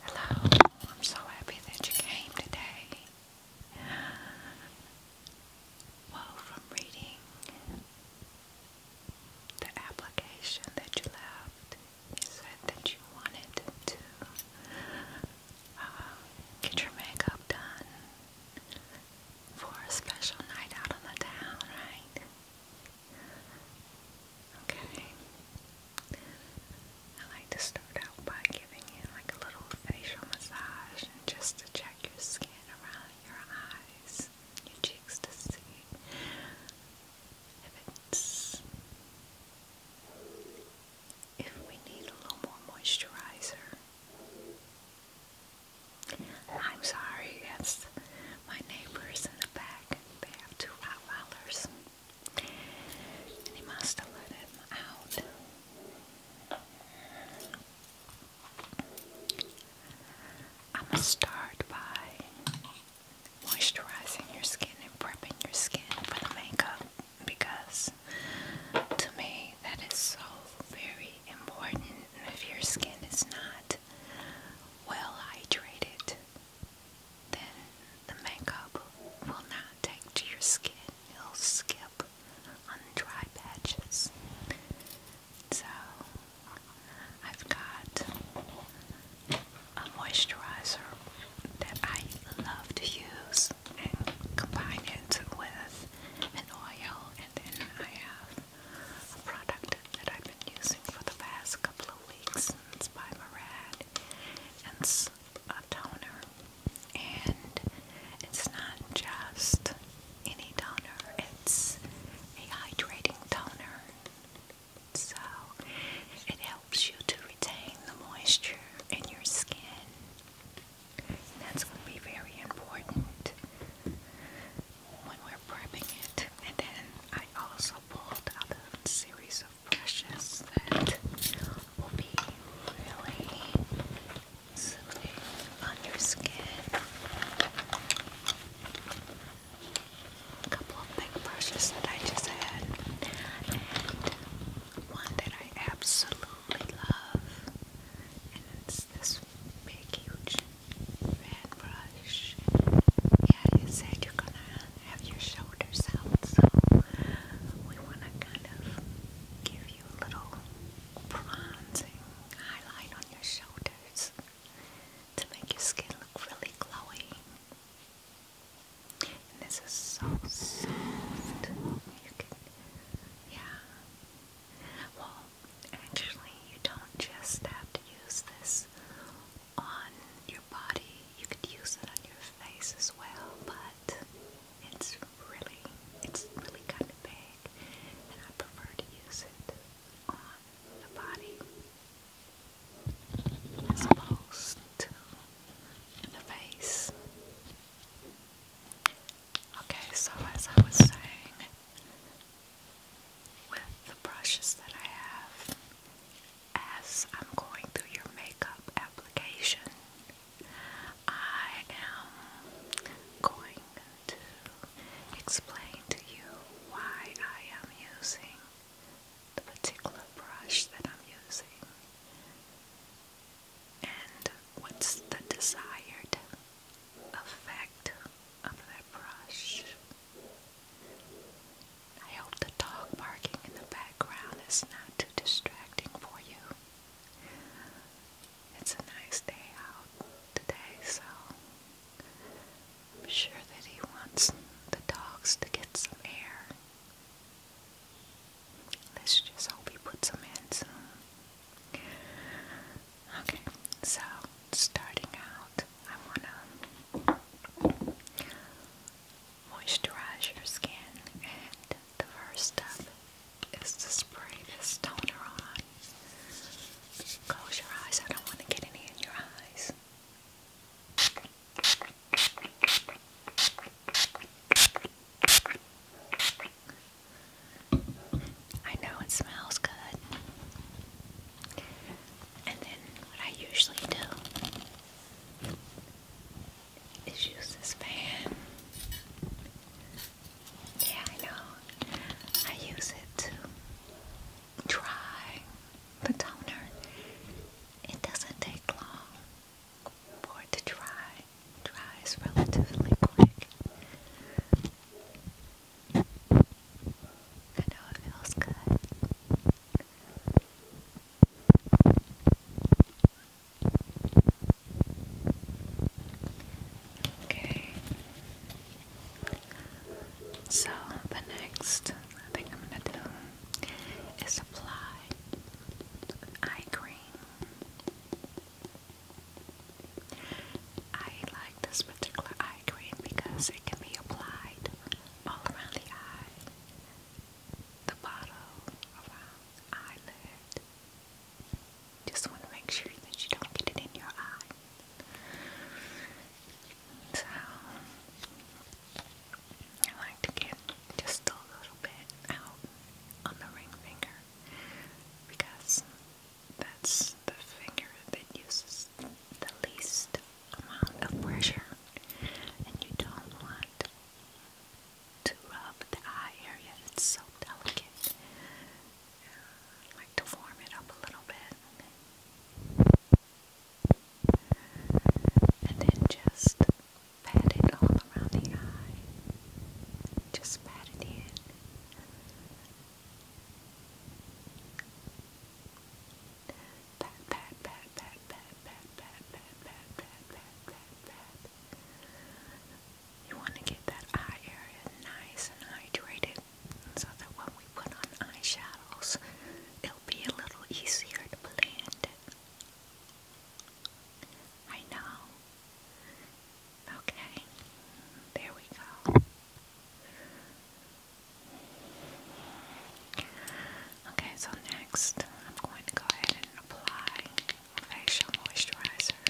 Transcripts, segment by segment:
Hello, I'm so happy that you came today. Well, from reading the application that you left, you said that you wanted to uh, get your makeup done for a special night out on the town, right? Okay. I like to start out by giving you like a little facial massage just to check your skin around your eyes, your cheeks to see if it's if we need a little more moisturizer. I'm sorry, that's my neighbors in the back. They have two Rottweilers. And must have let him out. I'm going to start by moisturizing your skin and prepping your skin for the makeup because to me that is so very important if your skin is not well hydrated then the makeup will not take to your skin. It'll skip on dry patches. So I've got a moisturizer that I love to use and combine it with an oil and then I have a product that I've been using for the past couple of weeks. It's by Murad it's a toner, and it's not just any toner, it's a hydrating toner. So it helps you to retain the moisture in your skin. that's going to be very important when we're prepping it. And then I also pulled out a series of so that will be really soothing on your skin. A couple of big brushes that I just had, and one that I absolutely love, and it's this big, huge fan brush. Yeah, you said you're gonna have your shoulders out, so we wanna kind of give you a little bronzing highlight on your shoulders to make your skin look really glowy. And this is so soft. yeah. Well, actually, you don't just have to use this on your body. You could use it on your face as well, but it's really, it's really kind of big, and I prefer to use it on the body as opposed to the face. Okay, so as I was saying, with the brushes that I have, as I'm going through your makeup application, I am going to explain to you why I am using the particular brush that I'm using and what's the desired effect of that brush. I hope the dog barking in the background is not too distracting for you. It's a nice day out today, so I'm sure that he wants the dogs to get some air. Let's just hope he puts them in soon. Okay, so starting out, I want to moisturize your skin, and the first step is to spray this toner on. Close your eyes, I don't want to get any in your eyes. I know it smells good. And then what I usually do is use this fan. Yeah, I know. I use it to dry the toner. It doesn't take long for it to dry. Dries relatively quick. I know it feels good. Okay. So the next thing I'm gonna do is apply eye cream. I like this particular eye cream because it can be applied all around the eye, the bottle, around eyelid. Just want to make sure that you don't get it in your eye. So, I like to get just a little bit out on the ring finger because that's the finger that uses the least amount of pressure and you don't want to rub the eye area. It's so delicate. like to warm it up a little bit. And then just pat it all around the eye. Just pat it in. Pat, You want to get that eye area nice and hydrated so that when we put on eyeshadows, it'll be a little easier to blend. I know. Okay, there we go. Okay, so next I'm going to go ahead and apply facial moisturizer.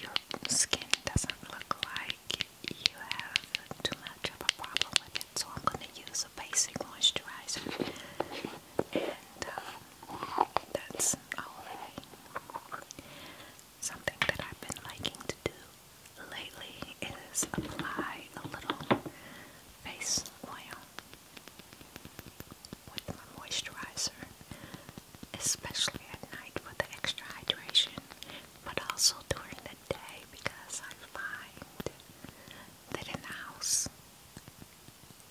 Your skin doesn't look like you have too much of a problem with it, so I'm going to use a basic moisturizer, and um, that's all I need. Something that I've been liking to do lately is apply a little face oil with my moisturizer, especially at night for the extra hydration, but also during the day because I find that in the house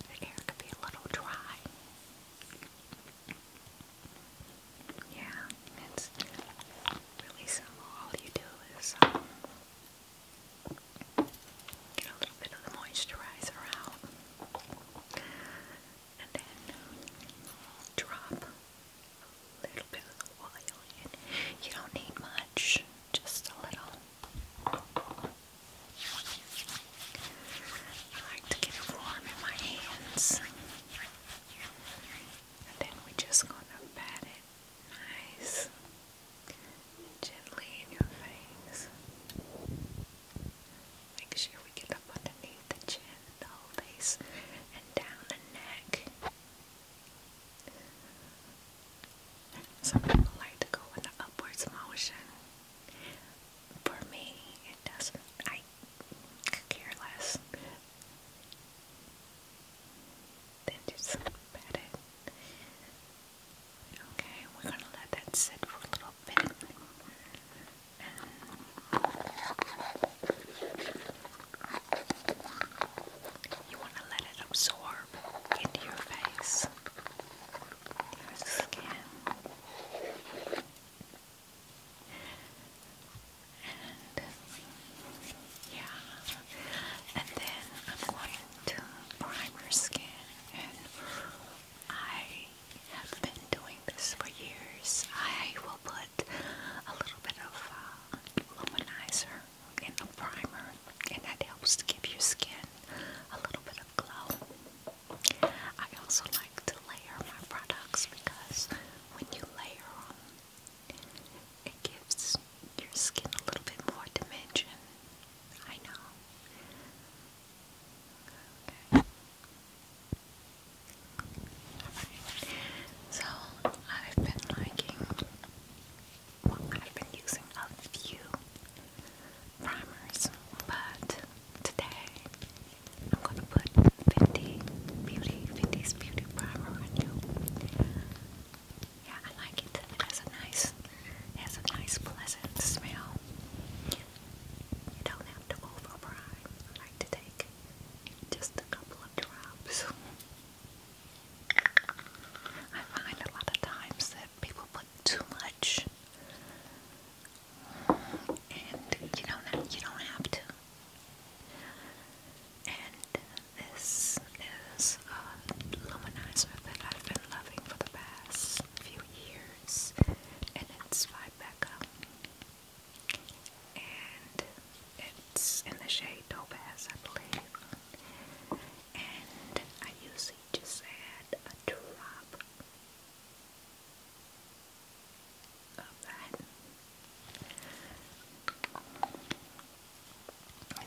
the air can be a little dry. Yeah, it's really simple. All you do is um, get a little bit of the moisturizer out and then drop a little bit of the oil in. You don't need much, just a little. I like to get it warm in my hands. And then we're just gonna pat it nice gently in your face. Make sure we get up underneath the chin, the whole face, and down the neck. Some people like to go in the upwards motion. For me, it doesn't. Careless. Then just pat it. Okay, we're gonna let that sit for a little bit. you wanna let it absorb into your face, your skin. And yeah, and then I'm going to prime her skin. And I have been doing this for years. I will put a little bit of uh, luminizer in the primer, and that helps to give your skin a little bit of glow. I also like to layer my products because when you layer it gives your skin a little bit more dimension. I know. Okay. So I've been liking I've been using a few primers, but today I'm gonna put 50 Beauty, 50's Beauty Primer on you. Yeah, I like it. It has a nice, has a nice pleasant smell. You don't have to over I like to take just a couple of drops. I find a lot of times that people put too much, and you don't you don't have to. And this is a luminizer that I've been loving for the past few years, and it's by Becca. And it's in the shade Topaz, I believe. And I usually just add a drop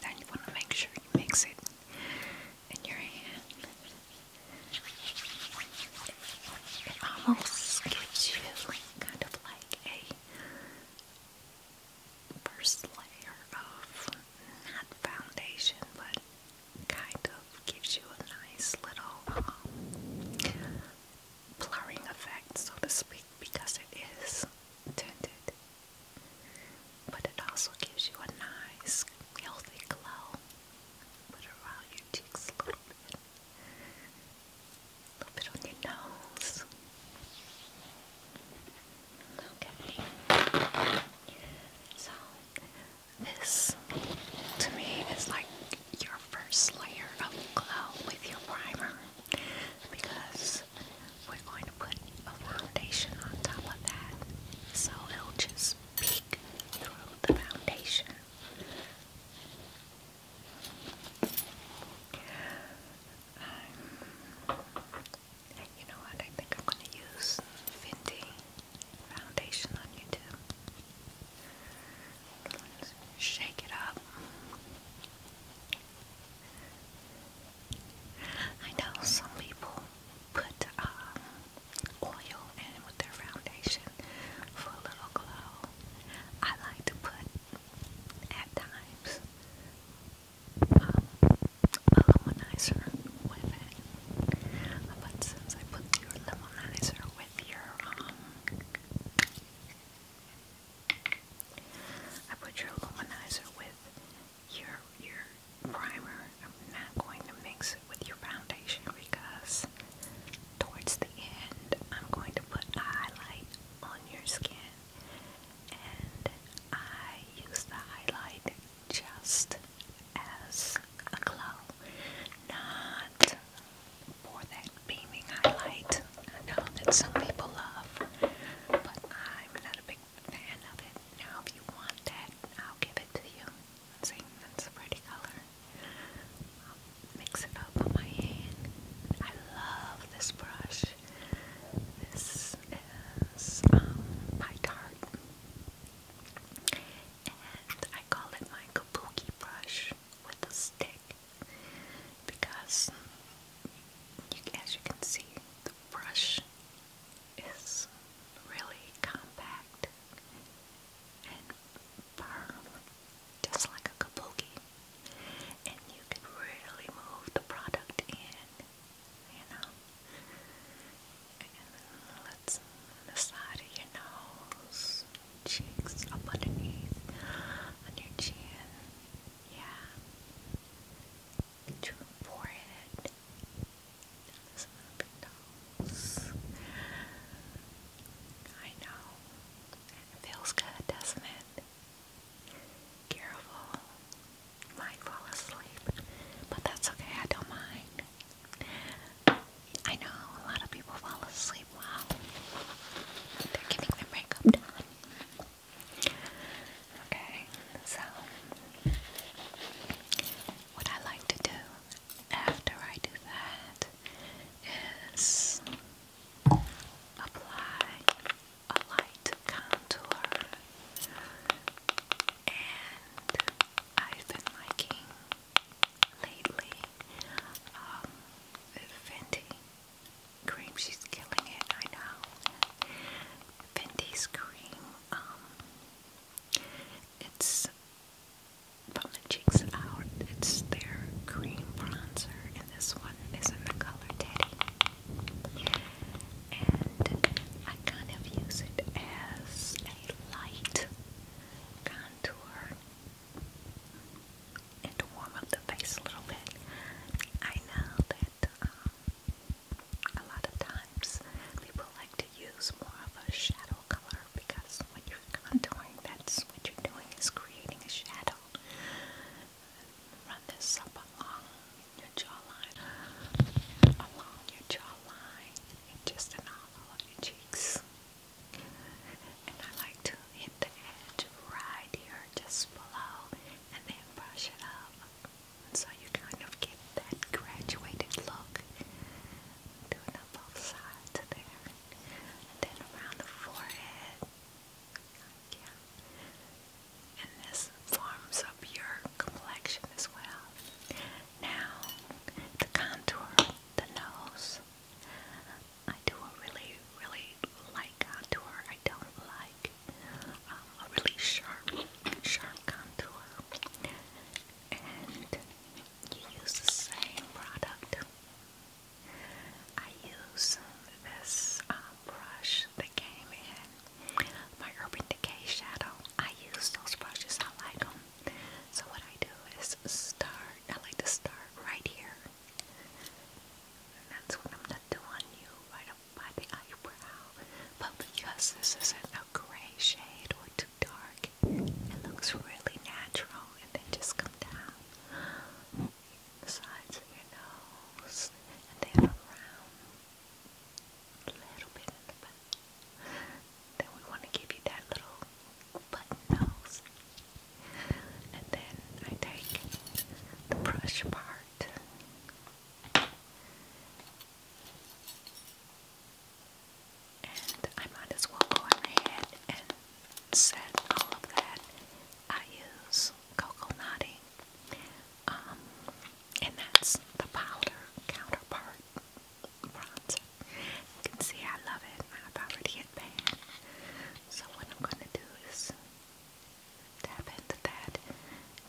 then you want to make sure you mix it in your hand. It almost gives you kind of like a first layer of not foundation, but kind of gives you a nice little um, blurring effect, so to speak, because it is tinted. But it also gives you a nice, healthy glow. Put around your cheeks a little bit. A little bit on your nose. Okay. So, this to me is like your first layer of glow with your primer because we're going to put a foundation on top of that so it'll just peek through the foundation. Um, you know what? I think I'm going to use Fenty foundation on YouTube shake it up. I know some people put um, oil in with their foundation for a little glow. I like to put at times um, a lemonizer with it. But since I put your lemonizer with your um, I put your luminizer with your your primer. I'm not going to mix it with your foundation because towards the end I'm going to put highlight on your skin and I use the highlight just as a glow, not for that beaming highlight. I know that some people love, but I'm not a big fan of it. Now, if you want that, I'll give it to you. See, a pretty color. I'll mix it up on my hand. I love this brush. This is um, by And I call it my kabuki brush with a stick because you, as you can see, the brush is really compact and firm, just like a kabuki, and you can really move the product in, you know. And let's the side of your nose cheeks, up underneath, on your chin. Yeah. To your forehead. Some of nose. I know. feels good, doesn't it? Careful. might fall asleep. But that's okay, I don't mind. I know a lot of people fall asleep sleep well. They're giving their makeup done. Okay, so what I like to do after I do that is apply a light contour, and I've been liking lately um, Fenty cream. She's killing it, I know. Fenty's cream. Um, it's from the cheeks out. It's their cream bronzer, and this one is in the color Teddy. And I kind of use it as a light contour and to warm up the face a little bit. I know that um, a lot of times people like to use more of a shadow color because when you're contouring, that's what you're doing is creating a shadow. Run this up along your jawline, along your jawline, and just in all of your cheeks. And I like to hit the edge right here, just below, and then brush it up. So you kind of get that graduated look. Do it on there. And then around the forehead. Yeah. And this forms up your complexion as well. Now, the contour, the nose. I don't really, really like contour. I don't like um, a really sharp, sharp contour. And you use the same product. I use this uh, brush that came in my Urban Decay Shadow. I use those brushes. I like them. So what I do is start. I like to start right here and that's what I'm gonna you, right up by the eyebrow. But because this isn't a gray shade or too dark, it looks really natural. And then just come down the sides of your nose, and then around a little bit in the back. Then we want to give you that little button nose. And then I take the brush part. And I might as well go ahead and set all of that. I use Coco Nutty. Um, and that's the powder counterpart bronzer. You can see I love it. I've already so what I'm going to do is tap into that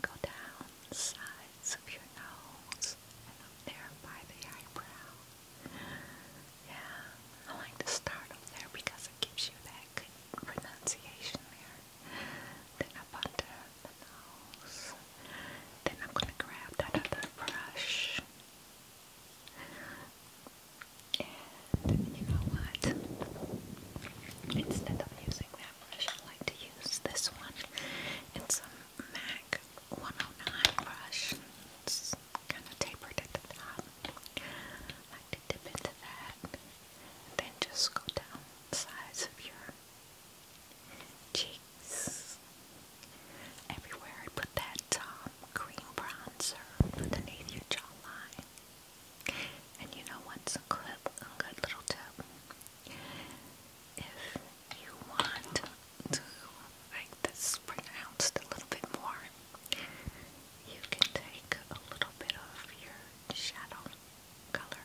go down sides of your nose and up there by the eyebrow. Yeah, I like to start up there because it gives you that good pronunciation there. Then up under the nose. Then I'm going to grab that other brush. And you know what? Instead of using that brush, I like to use this one. It's a MAC 109 brush. It's kind of tapered at the top. like to dip into that. then just go down the sides of your cheeks. Everywhere I put that tongue. Green cream bronzer underneath your jawline. And you know what's a good, little tip? If you want to make this pronounced a little bit more, you can take a little bit of your shadow color,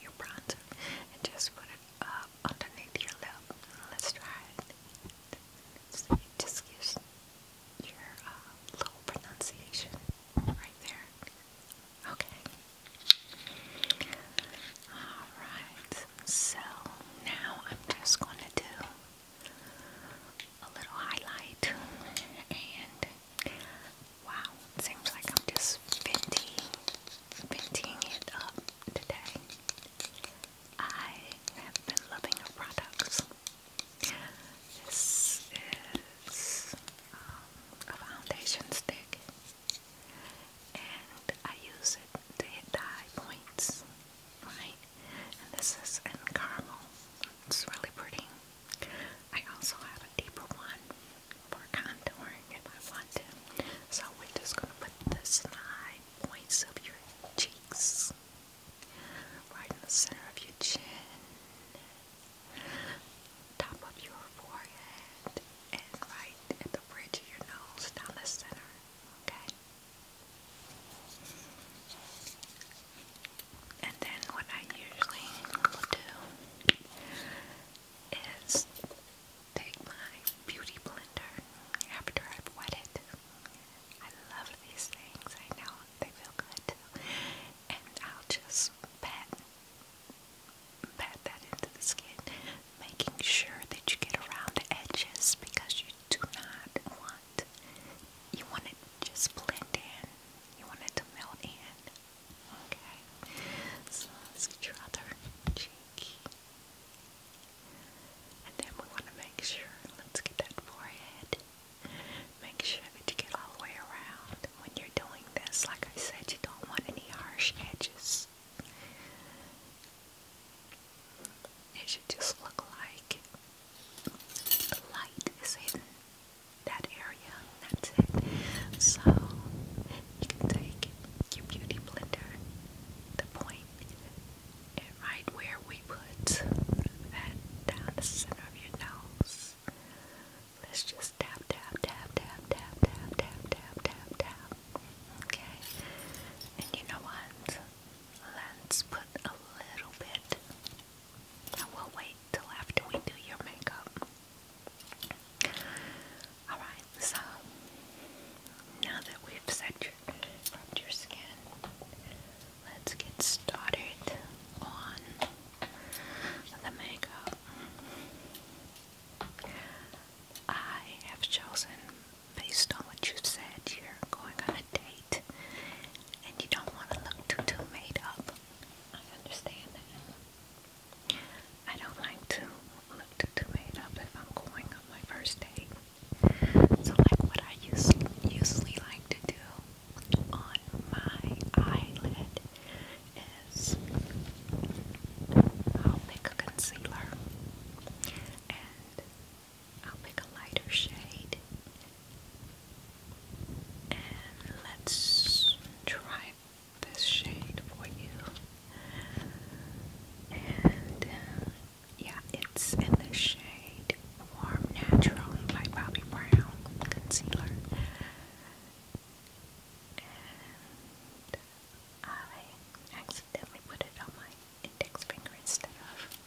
your bronzer, and just put it up underneath your lip. Let's try it. just use your uh, little pronunciation right there. Okay. Alright, so now I'm just going to do a little highlight and wow, seems like I'm just venting, venting it up today. I have been loving her products. This is um, a foundation stick, and I use it to hit the high points, right? And this is in caramel. It's really pretty. I also have a deeper one for contouring if I want to. So we're just gonna put the high points of your cheeks right in the center of your chin, top of your forehead, and right at the bridge of your nose, down the center. Okay? And then what I usually will do is take my beauty blender after I've wet it I love these things. I know they feel good too. And I'll just pat pat that into the skin, making sure that you get around the edges because you do not want you want it just blend in. You want it to melt in. Okay. So let's get your other cheek. And then we want to make sure, let's get that forehead. Make sure that you get all the way around. When you're doing this, like I said, you don't want any harsh edges. It should just look like the light is in that area. That's it. So you can take your beauty blender, the point and right where we put that down the center of your nose. Let's just tap, tap, tap, tap, tap, tap, tap, tap, tap, tap. Okay? And you know what? Let's put a little bit. I will wait till after we do your makeup. Alright, so now that we've set your rubbed your skin. Let's get started on the makeup. I have chosen, based on what you have said, you're going on a date and you don't want to look too, too made up. I understand that. I don't like to look too, too made up if I'm going on my first date. So like what I usually, usually like to do on my eyelid is I'll pick a concealer and I'll pick a lighter shade and let's try this shade for you and um, yeah, it's in the shade Warm Natural by Bobbi Brown Concealer. And I accidentally put it on my index finger instead of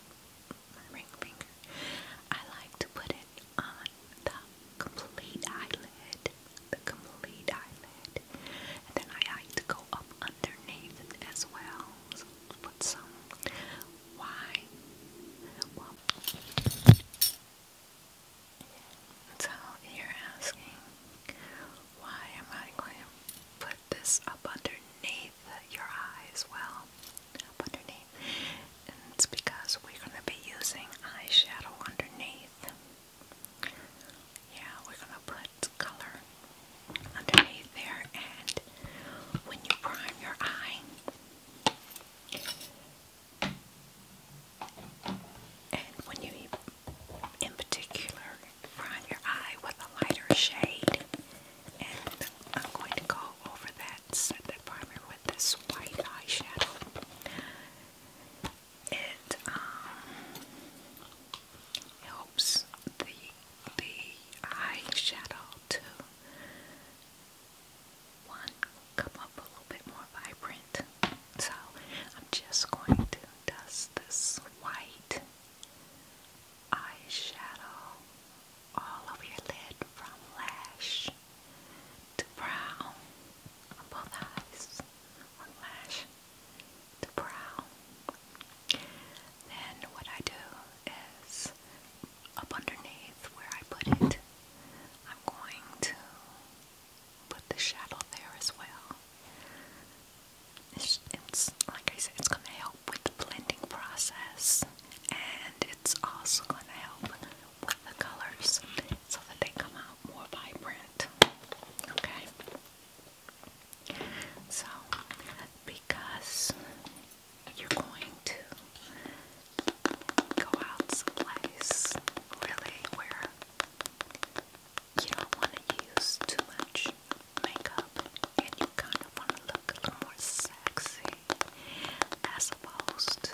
my ring finger. I like to put it on the complete eyelid. The complete eyelid. And then I like to go up underneath as well. Put some wine. Well, so you're asking, why am I going to put this up underneath your eyes? Well, up underneath. it's because we're going to be using eyeshadow underneath. Yeah, we're going to put color underneath there, and when you prime your eye, and when you in particular prime your eye with a lighter shade, and I'm going to go over that set that primer with this white eyeshadow. It um, helps the the eyeshadow to one come up a little bit more vibrant. So I'm just going to dust this white eyeshadow all over your lid from lash to brow on both eyes, from lash to brow. Then what I do is up underneath where I put it, I'm going to put the shadow there as well. It's, it's like I said, it's going to help with the blending process, and it's also going to help with the colors so that they come out more vibrant. Okay. So, because you're going to go out someplace really where you don't want to use too much makeup and you kind of want to look a little more sexy as opposed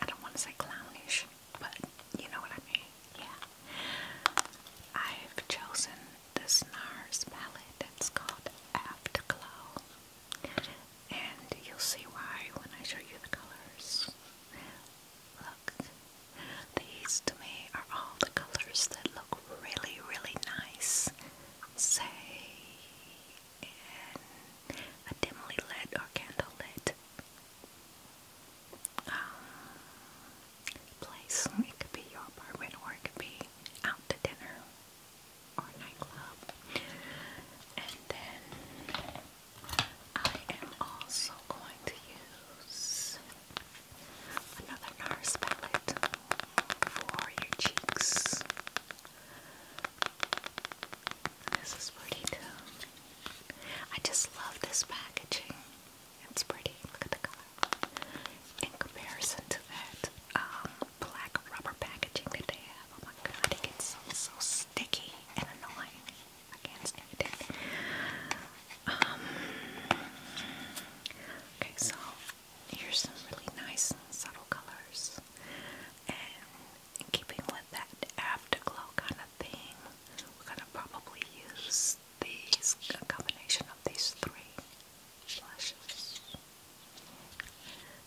I don't want to say clownish, but you know what I mean. Yeah. I've chosen the NARS palette that's called Afterglow. And you'll see why when I show you the colors. Look, these to me are all the colors that look really, really nice. Say, in a dimly lit or candle lit um, place. It could be your apartment or it could be out to dinner or nightclub. And then I am also going to use another NARS palette for your cheeks. This is pretty too. I just love this packaging. It's pretty. Look at the color. In comparison to that um, black rubber packaging that they have, oh my god, it gets so, so sticky and annoying. I can't stand it. Um, okay, so here's some really nice subtle colors, and keeping with that afterglow kind of thing, we're gonna probably use these combination of these three blushes.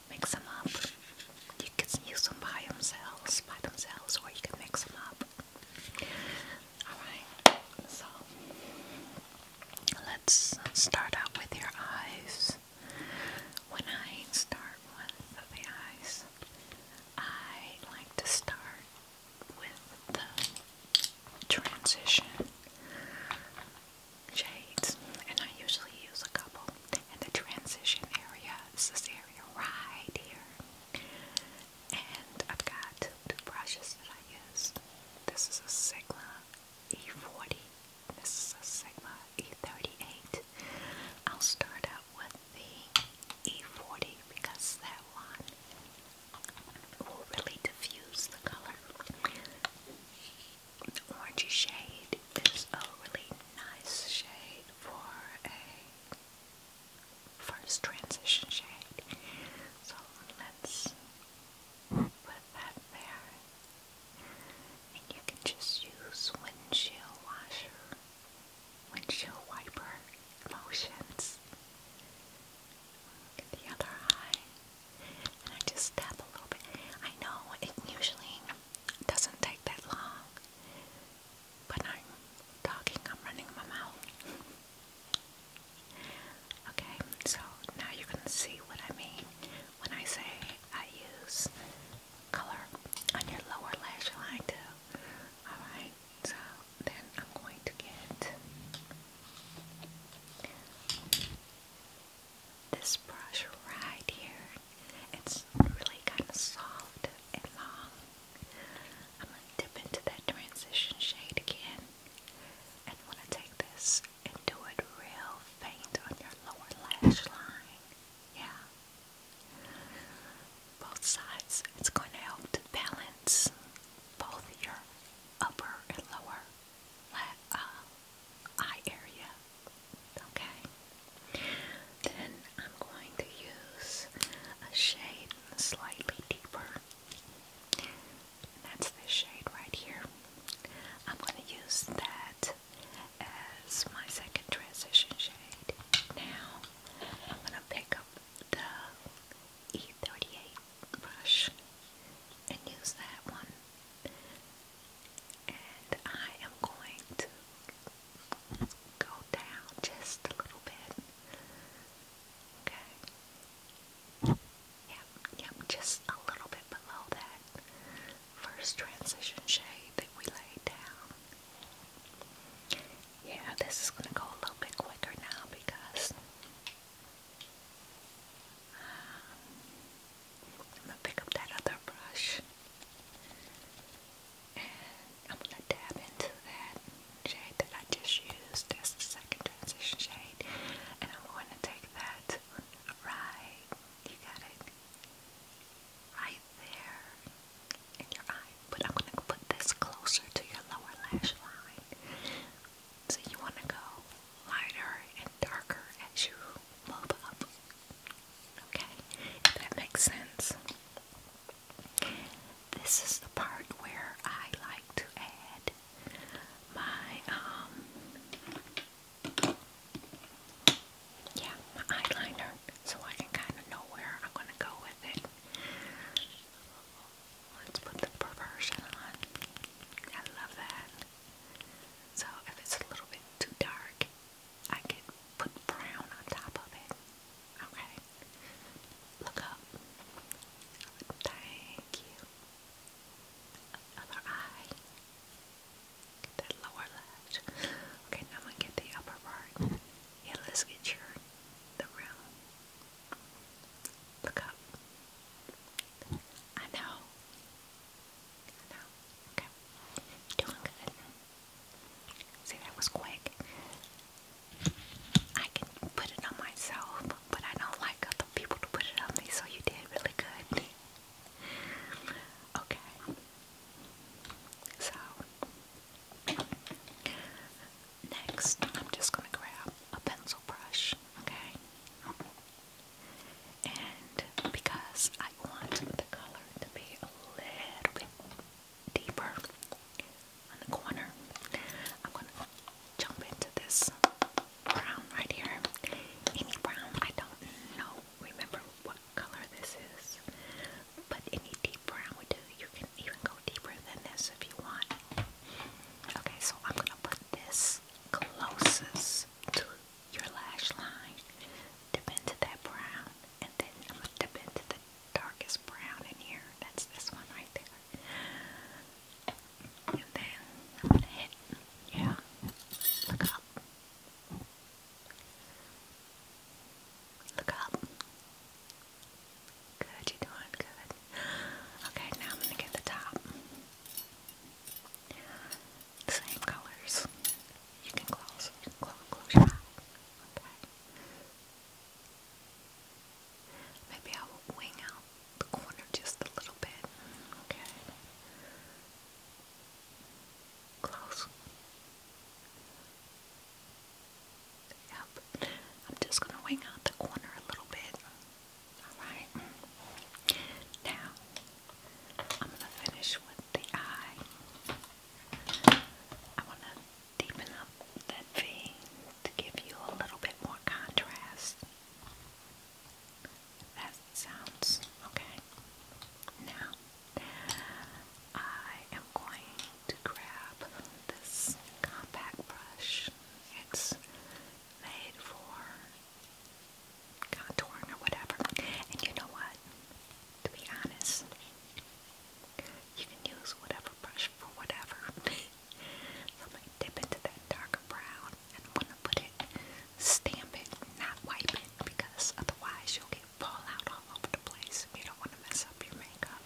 Mix them up. You can use them by themselves, by themselves, or you can mix them up. Alright, so let's start out with your eyes. When I start with the eyes, I like to start with the transition shades, and I usually use a couple. And the transition area is this area right here, and I've got two brushes that I use. This is a Sigma E40. This is a Sigma E38. I'll start out with the E40 because that one will really diffuse the color. orangey shade is a really nice shade for a first transition shade. So let's put that there. And you can just use windshield washer windshield wiper motions. Get the other eye. And I just tap a little bit. I know it usually doesn't take that long, but I'm talking, I'm running my mouth. Okay, so now you can see what I mean when I say I use color on your lower lash line too. Alright, so then I'm going to get this brush right here. It's really kind of soft and long. I'm going to dip into that transition shade again. And I'm to take this and do it real faint on your lower lash line. Yeah both sides. It's going to help to balance both your upper and lower uh, eye area. Okay? Then I'm going to use a shade slightly deeper. That's the shade right here. I'm going to use that as my second transition shade. Now, I'm going to pick up the E38 brush and use that one. And I am going to go down just a little bit. Okay. Yep, yep, just a little bit below that first transition shade that we laid down. Yeah, this is going to go a little bit quicker now because I'm going to pick up that other brush and I'm going to dab into that shade that I just used. That's the second transition shade. And I'm going to take that right, you got it, right there in your eye, but I'm gonna put this closer to your lower lash line. So you wanna go lighter and darker as you move up. Okay, if that makes sense. This is the part where I like to add my um yeah, my eyeliner so I can kind of know where I'm going to go with it. Let's put the perversion on. I love that. So if it's a little bit too dark, I can put brown on top of it. Okay. Look up. Thank you. Other eye. that lower left. Okay, now I'm gonna get the upper part. Yeah, let's get your the rim. Look up. I know. I know. Okay. You're doing good. See, that was quick. I can put it on myself, but I don't like other people to put it on me, so you did really good. Okay. So, Next, I'm just going to grab a pencil brush, okay? And because I want the color to be a little bit deeper on the corner, I'm going to jump into this brown right here. Any brown, I don't know, remember what color this is, but any deep brown to. You can even go deeper than this if you want. Okay, so I'm gonna put this closest to your lash line. Dip into that brown, and then I'm gonna dip into the darkest brown in here. That's this one right there. And then I'm gonna hit, yeah, look up. Look up. Good, you're doing good. Okay, now I'm going to get the top. Same colors. You can close, you can close, close your eye. Okay. Maybe I will wing out the corner just a little bit. Okay. Close. Yep. I'm just going to wing out the corner a little bit. Alright. Now, I'm going to finish with the eye. I want to deepen up that V to give you a little bit more contrast. That sounds okay. Now, I am going to grab this compact brush. It's made for contouring or whatever. And you know what? To be honest, you can use whatever brush for whatever. so I'm going to dip into that darker brown and I'm going to put it, stamp it, not wipe it, because otherwise you'll get fallout all over the place if you don't want to mess up your makeup.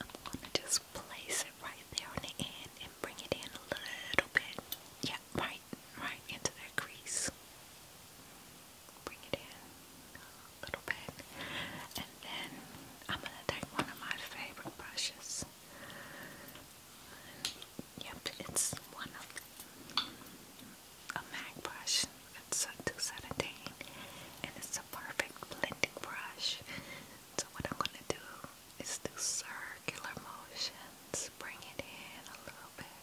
I'm gonna just place it right there on the end and bring it in a little bit. Yeah, right, right into that crease. Bring it in a little bit. And then I'm gonna take one of my favorite brushes. Yep, it's one of a MAC brush. It's a 217 and it's a perfect blending brush. So what I'm going to do is do circular motions. Bring it in a little bit.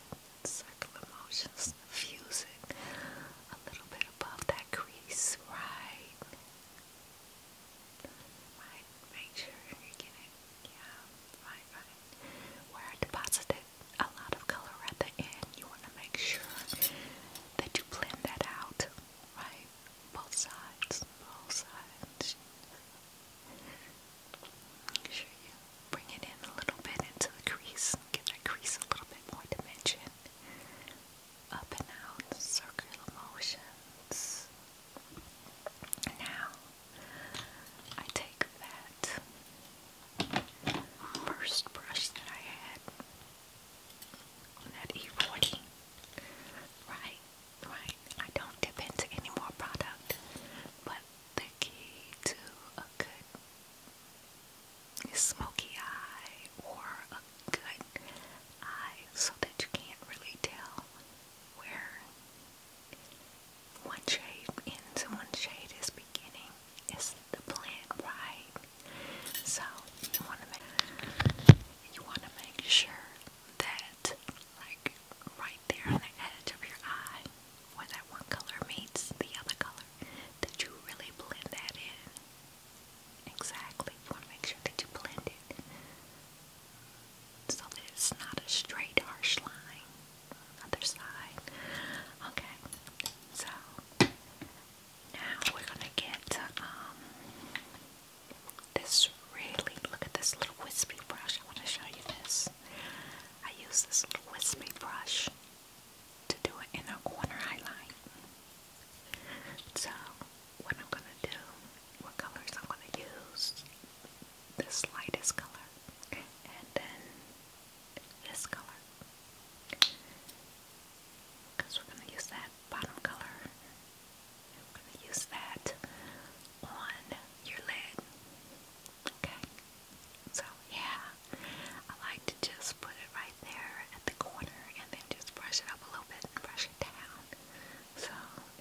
Circular motions. Fuse it a little bit above that crease. Right. Right. Make sure you get it. Yeah. Right, right. Where I deposited a lot of color at the end, you want to make sure that you blend that out, right? Both sides, both sides. Make sure you bring it in a little bit into the crease, give that crease a little bit more dimension. Up and out, circular motions. Now, I take that first brush that I had on that e Right, right. I don't dip into any more product, but the key to a good smoky eye or a good eye so that you can't really tell where one shade ends and one shade is is the plant right. So you want to make sure that like right there on the edge of your eye where that one color meets the other color that you really blend that in. Exactly. You want to make sure that you blend it so that it's not a straight harsh line on the other side. Okay, so now we're gonna get um, this really look at this little wispy brush. I want to show you this. I use this little wispy brush to do an inner corner highlight. So what I'm gonna do, what colors I'm gonna use, this lightest color, and then this color because we're going to use that bottom color we're going to use that on your lid okay so yeah I like to just put it right there at the corner and then just brush it up a little bit and brush it down so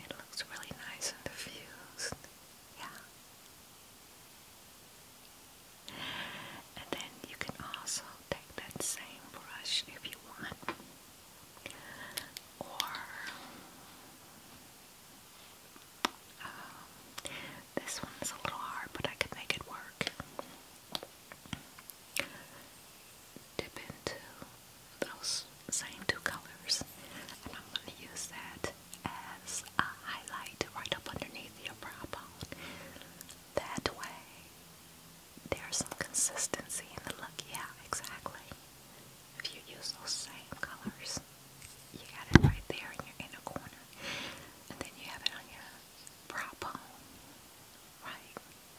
it looks really nice and diffused yeah and then you can also take that same brush if you want, or um, this one's a little hard, but I could make it work. Dip into those same two colors, and I'm going to use that as a highlight right up underneath your brow bone that way. There's some consistency in the look. Yeah, exactly. If you use those same colors, you got it right there in your inner corner. And then you have it on your brow bone. Right?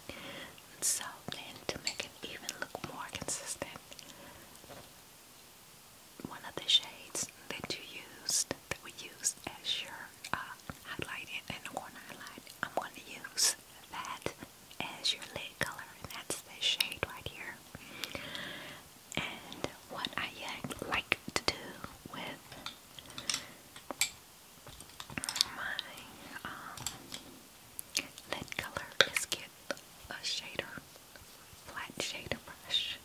And so then to make it even look more consistent, one of the shades that you used, that we use as your uh, highlighting in the highlight, I'm going to use that as your lid color, and that's this shade right here. And what I like to do with my um, lid color is get a shader, flat shader brush,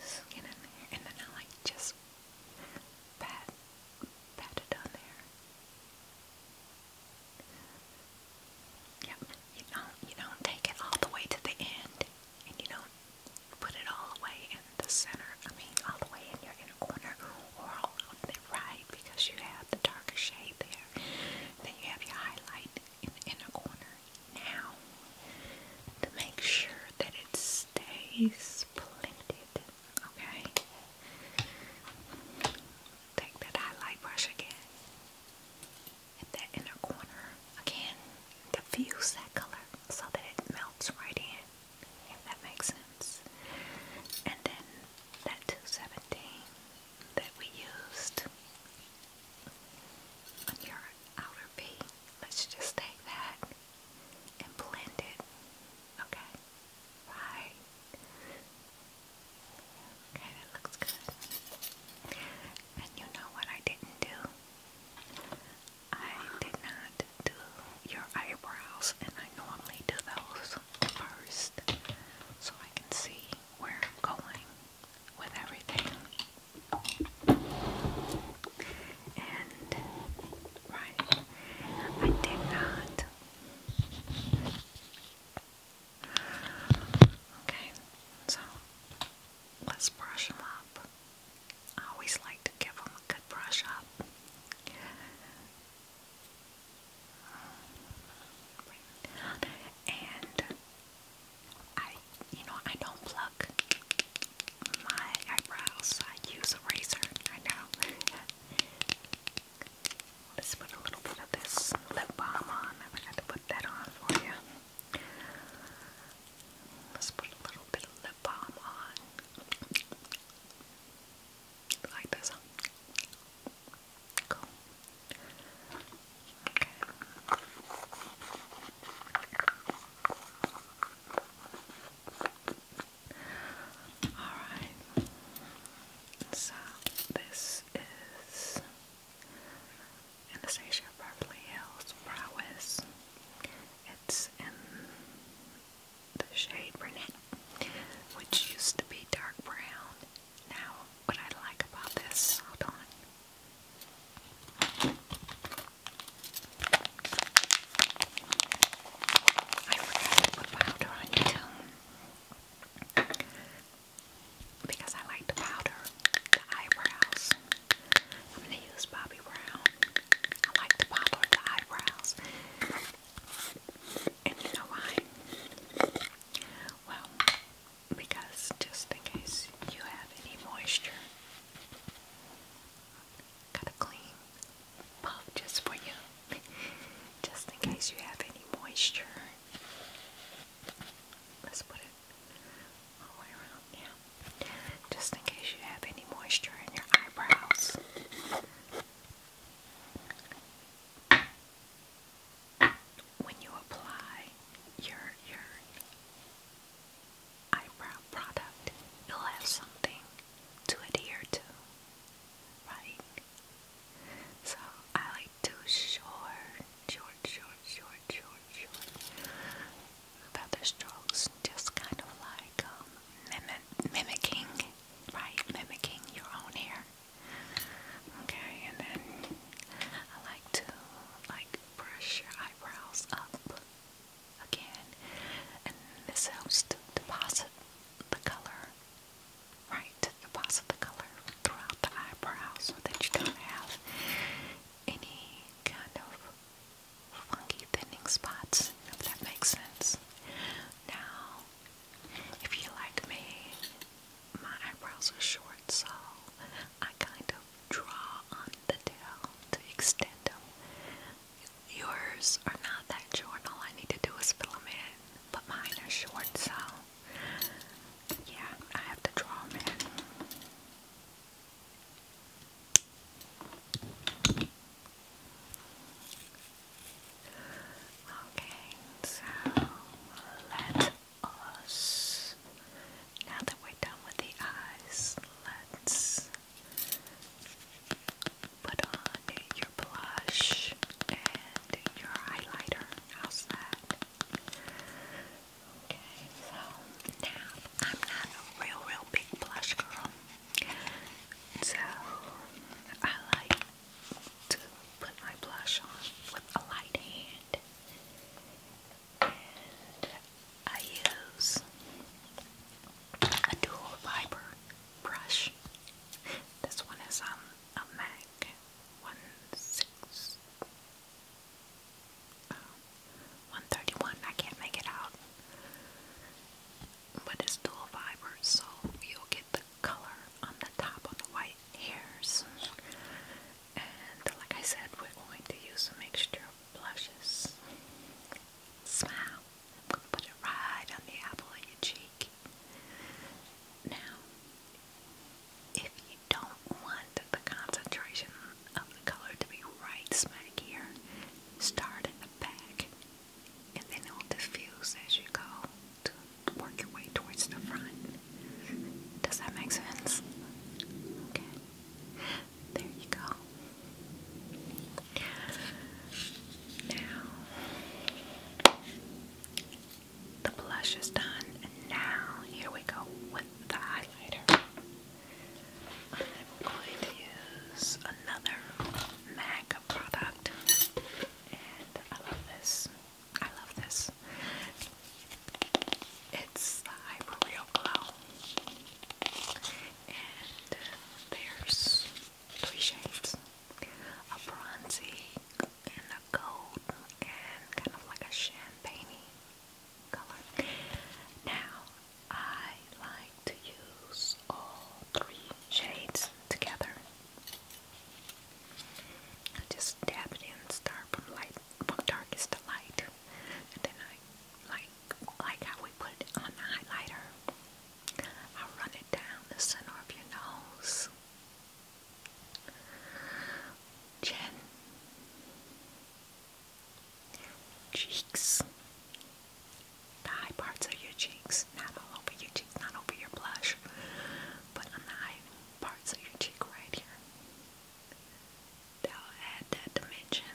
just get in there, and then I like just pat, pat it on there. Yep, you do you do take it all the way to the end, and you do put it all the way in the center, I mean all the way in your inner corner, or all the right, because you have the darker shade there, then you have your highlight in the inner corner. Now, to make sure that it stays blended. Okay? Take that highlight brush again. At that inner corner. Again, diffuse that color so that it melts right in, if that makes sense. And then that 217 that we used on your outer V, let's just take that and blend it. Okay. Right. Okay, that looks good. And you know what I didn't do? I did not do your eyebrows, and I normally do those first so I can see where I'm going with everything. And right, I did not. Okay, so let's brush them up. I always like to give them a good brush up. And I you know, I don't pluck my eyebrows. I use a razor. I know. Let's put a little bit of this lip balm on. I forgot to put that on for you. Let's put a little bit of lip balm on. Like this. Cool. Alright, so this is Anastasia Beverly Hills Prowess. It's in the shade brunette, which used to be dark brown. Now, what I like about this, hold on. I forgot to put powder on it because I like the powder, the eyebrows. I'm gonna use Bobbi Brown. I like the powder, the eyebrows. And you know why? Well, because just in case you have any moisture Got a clean puff just for you, just in case you have any moisture. Let's put it all the way around, yeah. Just in case you have any moisture in your eyebrows. When you apply your your eyebrow product, you'll have something to adhere to, right? So I like to short, short, short, short, short, short feather strokes, just kind of like um, mimicking, right? Mimicking your own hair. Okay, and then I like to like brush your eyebrows up again, and this helps to deposit the color, right? To deposit the color throughout the eyebrow so that you don't have any kind of funky thinning spots, if that makes sense. Now, if you like me, my eyebrows are short, so I kind of draw on the towel to extend them. Yours are not that short. All I need to do is fill them in, but mine are short, so yeah, I have to draw them in. Okay, so let us. Now that we're done with the eyes, let's Put on your blush and your highlighter. How's that? Okay, so now I'm not a real, real big blush girl. So I like to put my blush on with a light hand I use a dual fiber brush. This one is on um, a MAC one uh, one thirty one. I can't make it out, but it's dual fiber, so you'll get the color on the top of the white hairs. And like I said, we're going to use a mixture blushes. Smile. I'm going to put it right on the apple of your cheek. Now, if you don't want the concentration of the color to be right smack here, start at the back and then it will diffuse as you go to work your way towards the front. Does that make sense? Okay. There you go. Now, the blush is done, and now here we go with the highlighter. I'm going to use another MAC product, and I love this. I love this. It's the Hyperreal Glow and there's three shades a bronzy and a gold and kind of like a champagne color now I like to use all three shades together just dab it in start from light from darkest to light and then I like like how we put it on the highlighter. i run it down the center of your nose. Chin. Cheeks. The high parts of your cheeks. Not all over your cheeks, not over your blush, but on the high parts of your cheek right here they'll add that dimension.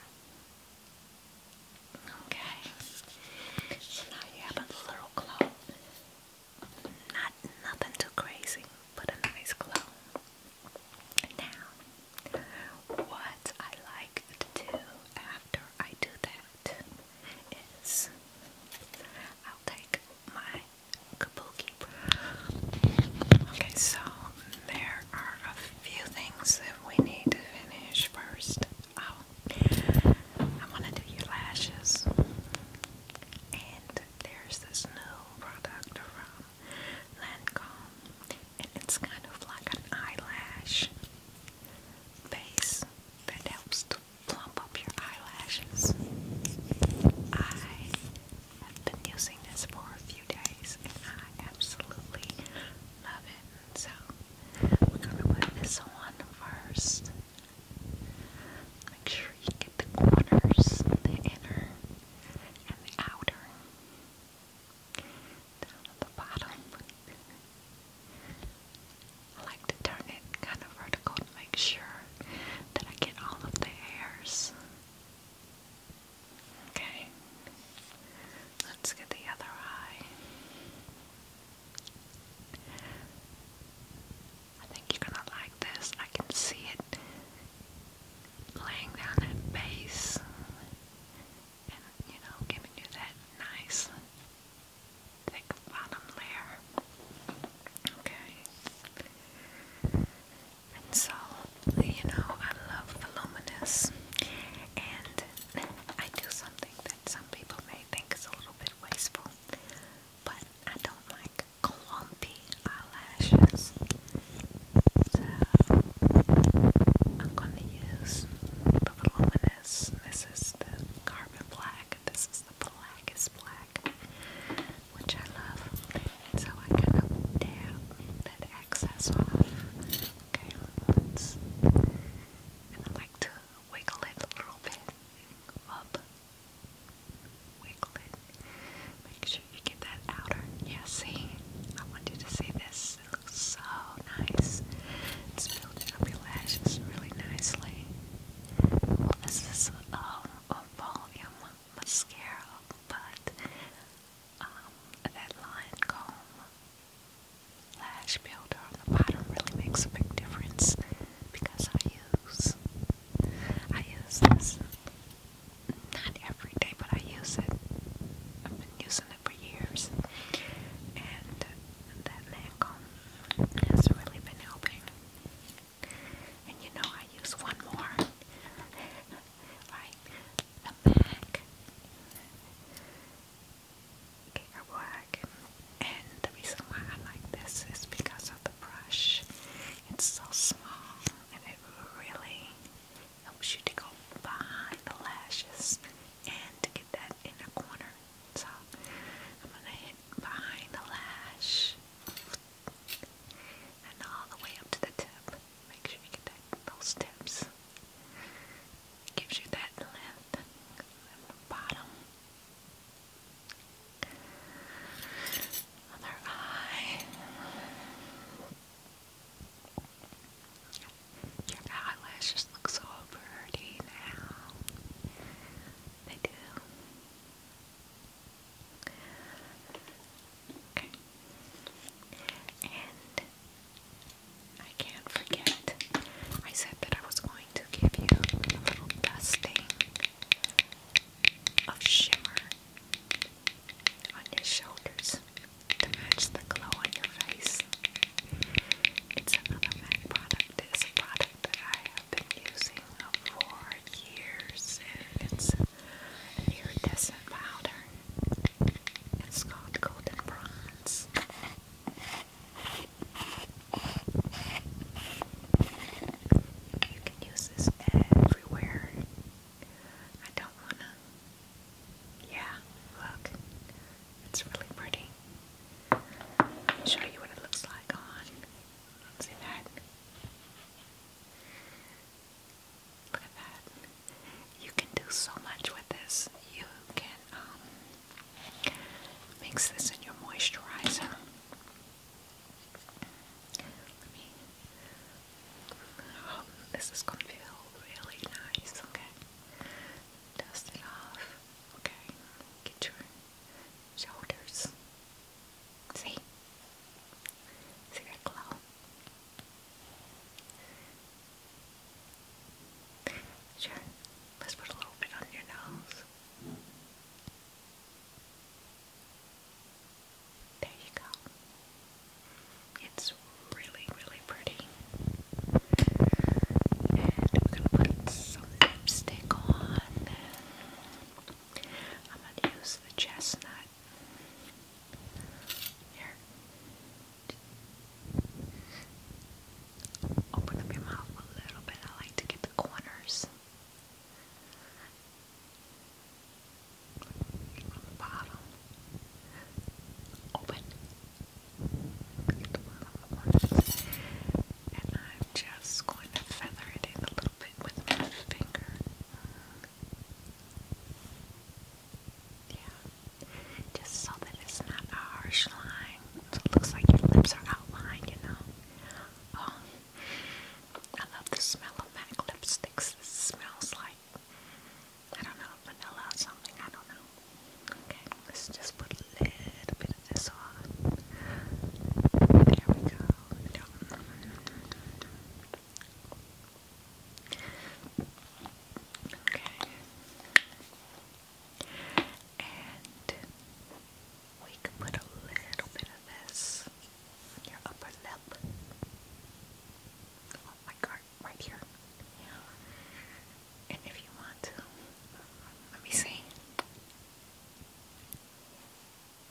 Okay. So now you have a little clone. Not nothing too crazy, but a nice clone. Now, what I like to do after I do that is I'll take my kabuki. Okay, so there are a few things that we need to finish first. Oh, I want to do your lashes. And there's this new product from Lancome. And it's kind of like an eyelash base that helps to plump up your eyelashes. I have been using this for a few days and I absolutely love it. So we're gonna put this on first. Make sure you get the corners, the inner and the outer. Down at the bottom. I like to turn it kind of vertical to make sure that I get all of the hairs. Okay. Let's get the other eye. I think you're gonna like this. I can see it laying down at base and, you know, giving you that nice thick bottom layer. Okay. And so, you know, I love voluminous. And I do something that some people may think is a little bit wasteful. But I don't like clumpy eyelashes. So, I'm going to use voluminous. This is the carbon black. This is the blackest black, which I love. So I kind of tear that excess off. Okay, let's. And I like to wiggle it a little bit up. Wiggle it. Make sure you get that outer. Yeah, see? I want to see this. It looks so nice. It's building up your lashes really nicely. Well, this is um, a volume mascara, but um, that line comb lash builder on the bottom really makes a big difference because I use I use this not every day but I use it I've been using it for years and that land comb has really been helping and you know I use one more like the back, hair work. And the reason why I like this is because of the brush. It's so small and it really helps you to go behind the lashes and to get that in the corner. So I'm gonna hit behind the lash and all the way up to the tip. Make sure you get those tips. Gives you that lift at the bottom. Other eye. Your eyelashes look so pretty now. They do. Okay. And I can't forget, I said that I was going to give you a little dusting of shimmer on your shoulders to match the glow on your face. It's another product. It's product that I have been using for years, and it's an iridescent powder. It's called Golden Bronze. You can use this everywhere. I don't wanna. Yeah, look. It's really pretty. I'll show you what it looks like on. See that? Look at that. You can do so much with this. You can um, mix this in your moisturizer. Oh, this is gonna feel really nice. Okay. Dust it off. Okay. Get your shoulders. See? See that glow? Sure, let's put a little bit on your nose. There you go. It's really, really pretty. And I'm gonna put some lipstick on. I'm gonna use the chestnut here. Open up your mouth a little bit. I like to get the corners. bottom. Open. And I'm just going to feather it in a little bit with my finger. Yeah. Just so that it's not a harsh line. it looks like your lips are outlined, you know. Oh, I love the smell of MAC lipsticks. This smells like, I don't know, vanilla or something. I don't know. Okay, let's just put a little bit of this on. There we go. Okay. And we can put a little bit of this on your upper lip. Oh my god, right here. And if you want to, let me see.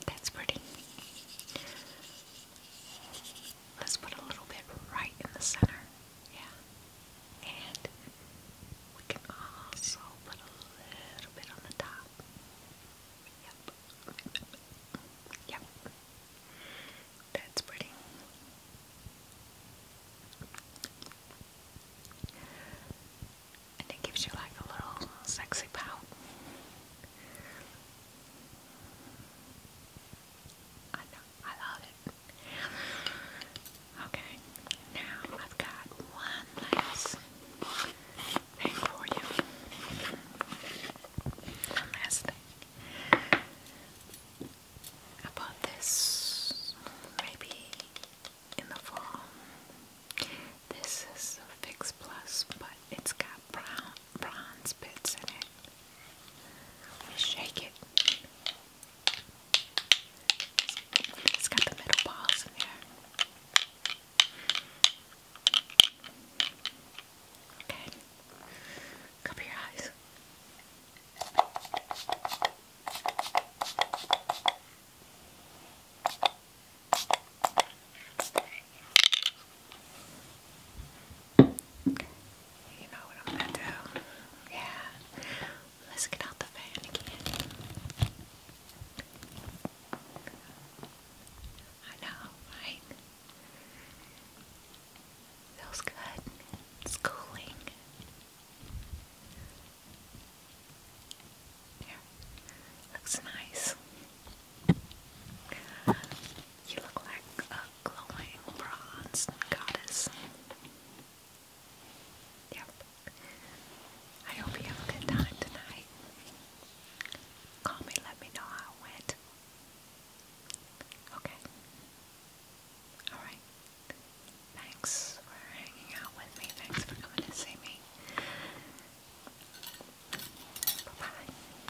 That's pretty. Let's put a little bit right in the center. Yeah. And we can also put a little bit on the top. Yep. Yep. That's pretty. And it gives you like a little sexy pout. I know, I love it. Okay, now I've got one last thing for you. One last thing. I bought this maybe in the fall. This is a Fix Plus, but it's got brown bronze bits in it. Just shake it. It's got the metal balls in there. Okay. Cover your eyes. You know what I'm gonna do? Yeah. Let's get out the fan again. I know, right? Feels good. It's cooling. Looks nice. You look like a glowing bronze goddess. Yep. I hope you have a good time tonight. Call me, let me know how it went. Okay. Alright. Thanks for hanging out with me. Thanks for coming to see me. Bye bye.